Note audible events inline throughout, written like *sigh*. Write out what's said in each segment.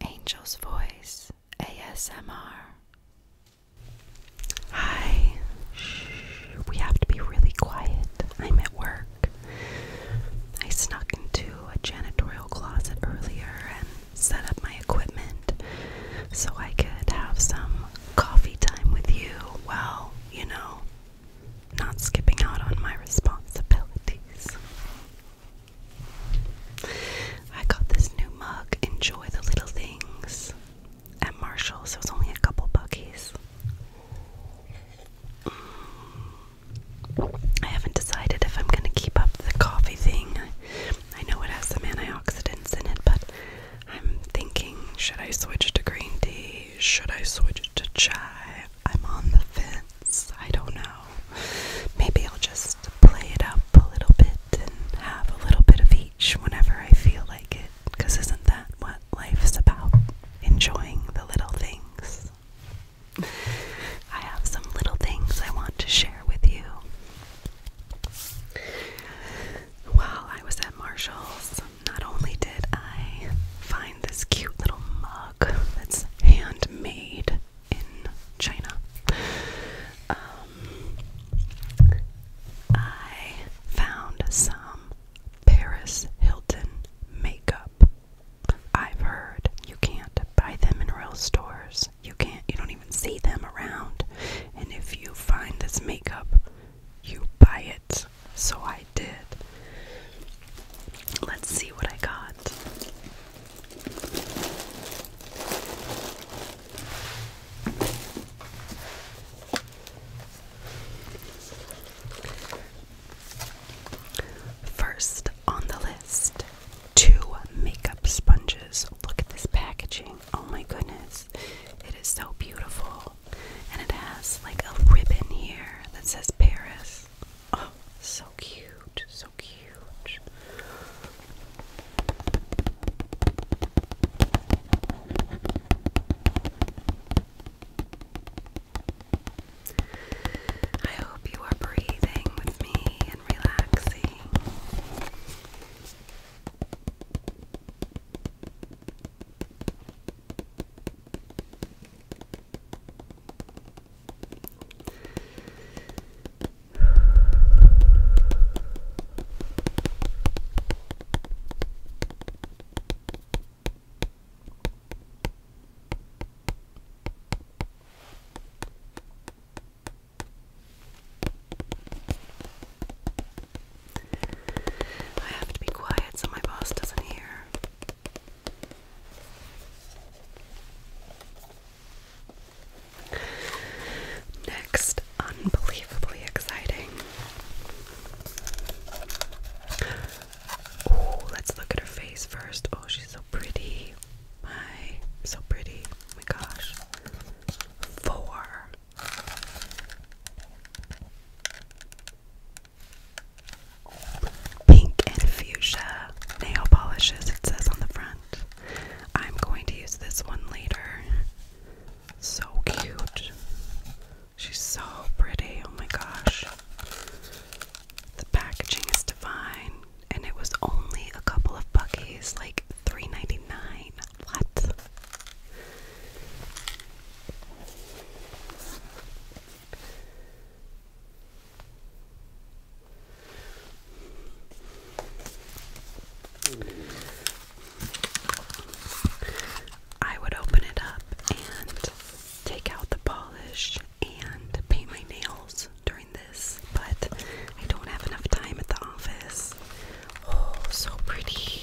Angel's Voice ASMR. Hi. We have to be really quiet. I'm at work. I snuck into a janitorial closet earlier and set up my equipment so I could have some coffee time with you. Well, you know, not skipping out on my responsibilities. I got this new mug, Enjoy the Little Things, at Marshall's. So it's only a couple bucks. Mm. I haven't decided if I'm gonna keep up the coffee thing. I know it has some antioxidants in it, but I'm thinking should I switch to green tea? Should I switch to chai? I'm on the fence. I don't know. Maybe I'll just play it up a little bit and have a little bit of each whenever I feel like it. Because isn't that what life's about? Enjoying the little things. I have some little things I want to share with you. While I was at Marshall's, not only did I find this cute little mug, that's handmade in China. Um, I found some Paris Hilton makeup. I've heard you can't buy them in real stores. You can't, you don't even see them around. And if you find this makeup, you buy it so I did. Let's see what I got. First on the list, two makeup sponges. Look at this packaging. Oh my goodness. It is so beautiful. And it has like a ribbon here that says Paris. Oh, *gasps* so cute, so cute. I hope you are breathing with me and relaxing. I have to be quiet so my boss doesn't hear. Next, unbelievably exciting. Oh, let's look at her face first. Oh, she's so pretty. My, so pretty. Oh my gosh. Four. Pink and fuchsia nail polishes, it says on the front. I'm going to use this one later. So cute. She's so pretty. Oh my gosh. The packaging is divine. And it was only a couple of buckies, like 3 What? I would open it up and take out the polish and paint my nails during this, but I don't have enough time at the office. Oh, so pretty.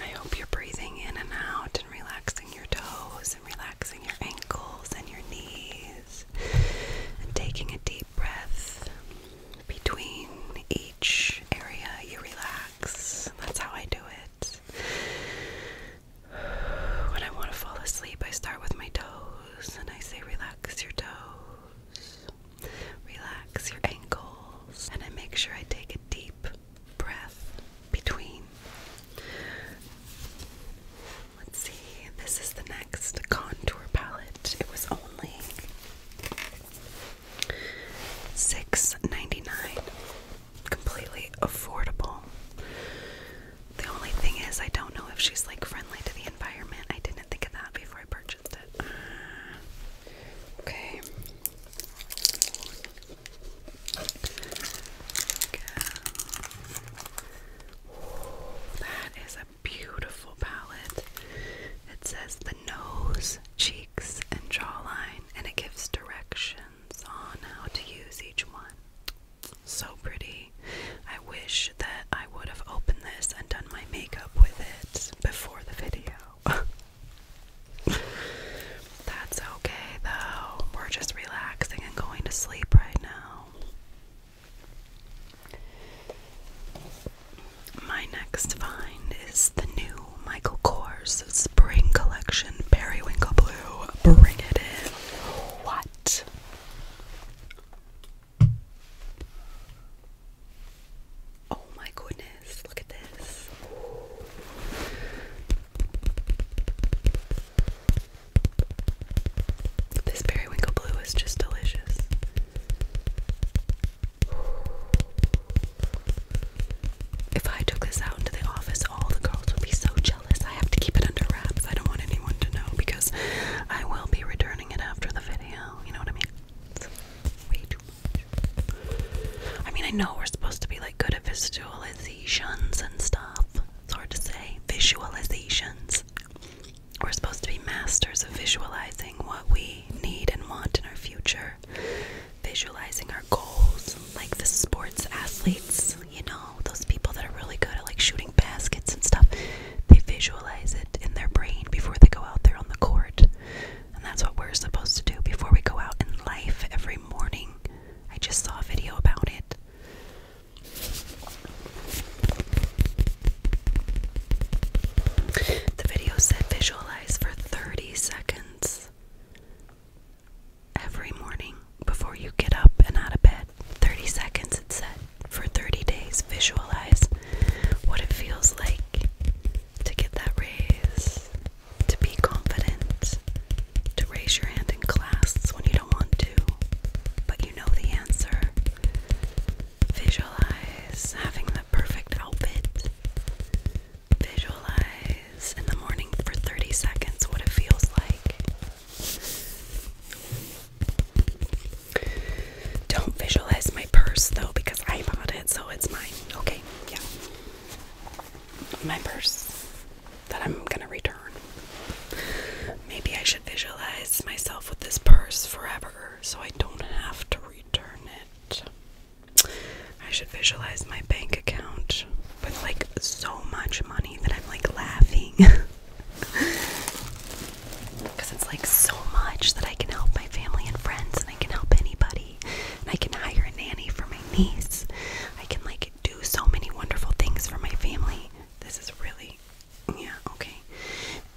I hope you're breathing in and out and relaxing your toes and relaxing your ankles and your knees and taking a deep breath between each area you relax. That's how I do it. When I want to fall asleep, I start with my toes and I say, Relax your toes. Relax your ankles, and I make sure I take a deep breath between. Let's see, this is the next contour palette. It was only six ninety nine, Completely affordable. The only thing is, I don't know if she's like friendly to the environment. I didn't think of that before I purchased it. Uh, okay, that is a beautiful palette. It says the nose, cheeks, and jawline, and it gives directions on how to use each one. So pretty. I wish that I would have opened this and done my makeup with it before the video. *laughs* That's okay though. We're just relaxing and going to sleep right now. My next find is the new Michael Kors Spring Collection Periwinkle Blue. Bring it in. What? Oh my goodness, look at this. This periwinkle blue is just delicious. If I took this out into the office, all the girls would be so jealous. I have to keep it under wraps. I don't want anyone to know because I will be returning it after the video. You know what I mean? I mean, I know we're supposed to be like good at visualizations and stuff. It's hard to say. Visualizations. We're supposed to be masters of visualizing what we need and want in our future, visualizing our goals, like the sports athletes, you know, those people that are really good at like shooting baskets and stuff. They visualize it in their brain before they go out there on the court. And that's what we're supposed to do before we go out in life every morning. I just saw a video about it. The video said visualize for 30 seconds every morning before you get up and out of bed. 30 seconds, it said for 30 days. Visualize what it feels like to get that raise, to be confident, to raise your hand in class when you don't want to, but you know the answer. Visualize having the perfect outfit. Visualize in the morning for 30 seconds what it feels like. Don't visualize my purse though because I bought it, so it's mine. Okay, yeah. My purse that I'm gonna return. Maybe I should visualize myself with this purse forever so I don't have to return it. I should visualize my bank account with like so much money that I'm like laughing. *laughs* Because it's like so much that I can help my family and friends, and I can help anybody. And I can hire a nanny for my niece. I can like do so many wonderful things for my family. This is really, yeah, okay.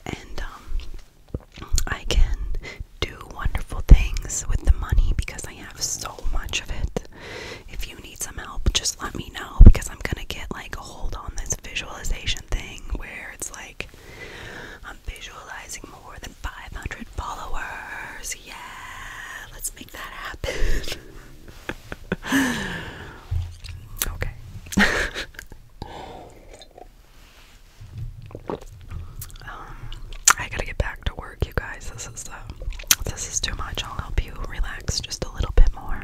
And um, I can do wonderful things with the money because I have so much of it. If you need some help, just let me know because I'm gonna get like hold on this visualization thing where it's like I'm visualizing more than 500 followers. Yeah, let's make that happen. *laughs* okay. *laughs* um, I gotta get back to work, you guys. This is uh, this is too much. I'll help you relax just a little bit more.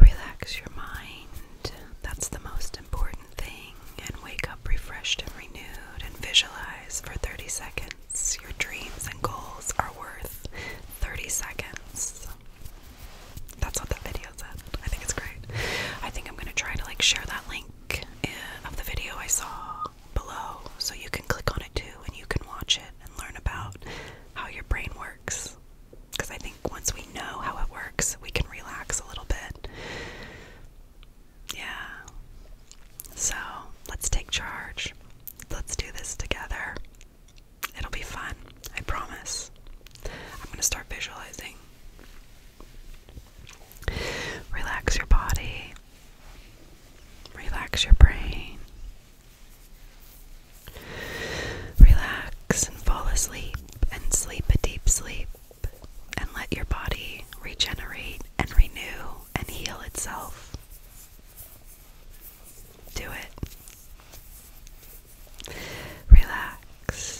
Relax your mind. That's the most important thing. And wake up refreshed and renewed and visualize for 30 seconds. Your dreams and goals are worth 30 seconds. That's what the video said. I think it's great. I think I'm going to try to like share that link link eh, of the video I saw below so you can click on it too and you can watch it and learn about how your brain works. Because I think once we know how it works, we can relax a little bit. Yeah. So let's take charge. Let's do this together. It'll be fun, I promise. I'm going to start visualizing. Relax your body, relax your brain, relax and fall asleep, and sleep a deep sleep, and let your body regenerate and renew and heal itself. Do it. Relax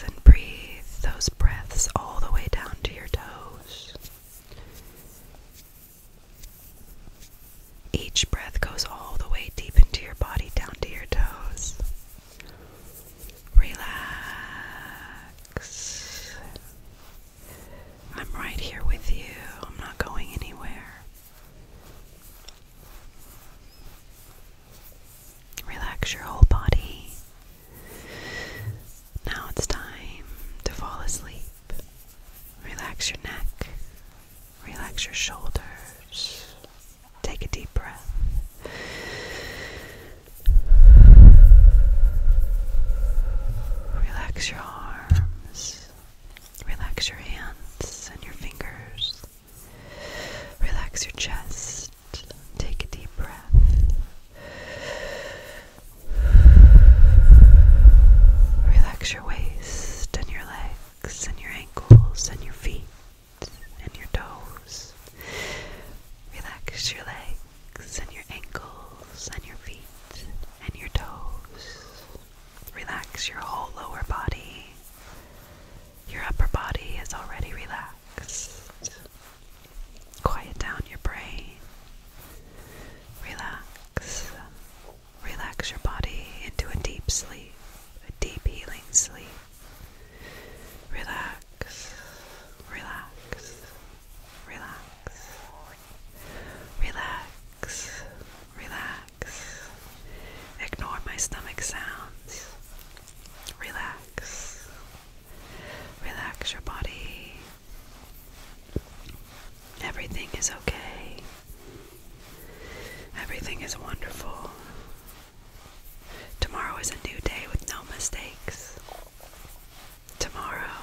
and breathe those breaths all the way down to your toes. Each breath goes all the way deep into your body, down to your toes. Relax. I'm right here with you. I'm not going anywhere. Relax your whole body. Now it's time to fall asleep. Relax your neck, relax your shoulders, take a deep breath. Relax your arms, relax your hands and your fingers, relax your chest, Take a deep breath. Relax your waist and your legs and your ankles and your feet and your toes. Relax your legs and your ankles and your feet and your toes. Relax your whole lower body. Your upper body is already relaxed. Quiet down your brain. Relax. Relax your body into a deep sleep, a deep healing sleep. Relax. Relax. Relax. Relax. Relax. Ignore my stomach sounds. Relax. Relax your body. Everything is okay. Everything is wonderful. Tomorrow is a new day with no mistakes. Tomorrow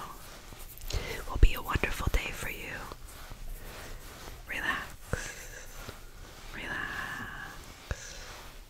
will be a wonderful day for you. Relax. Relax.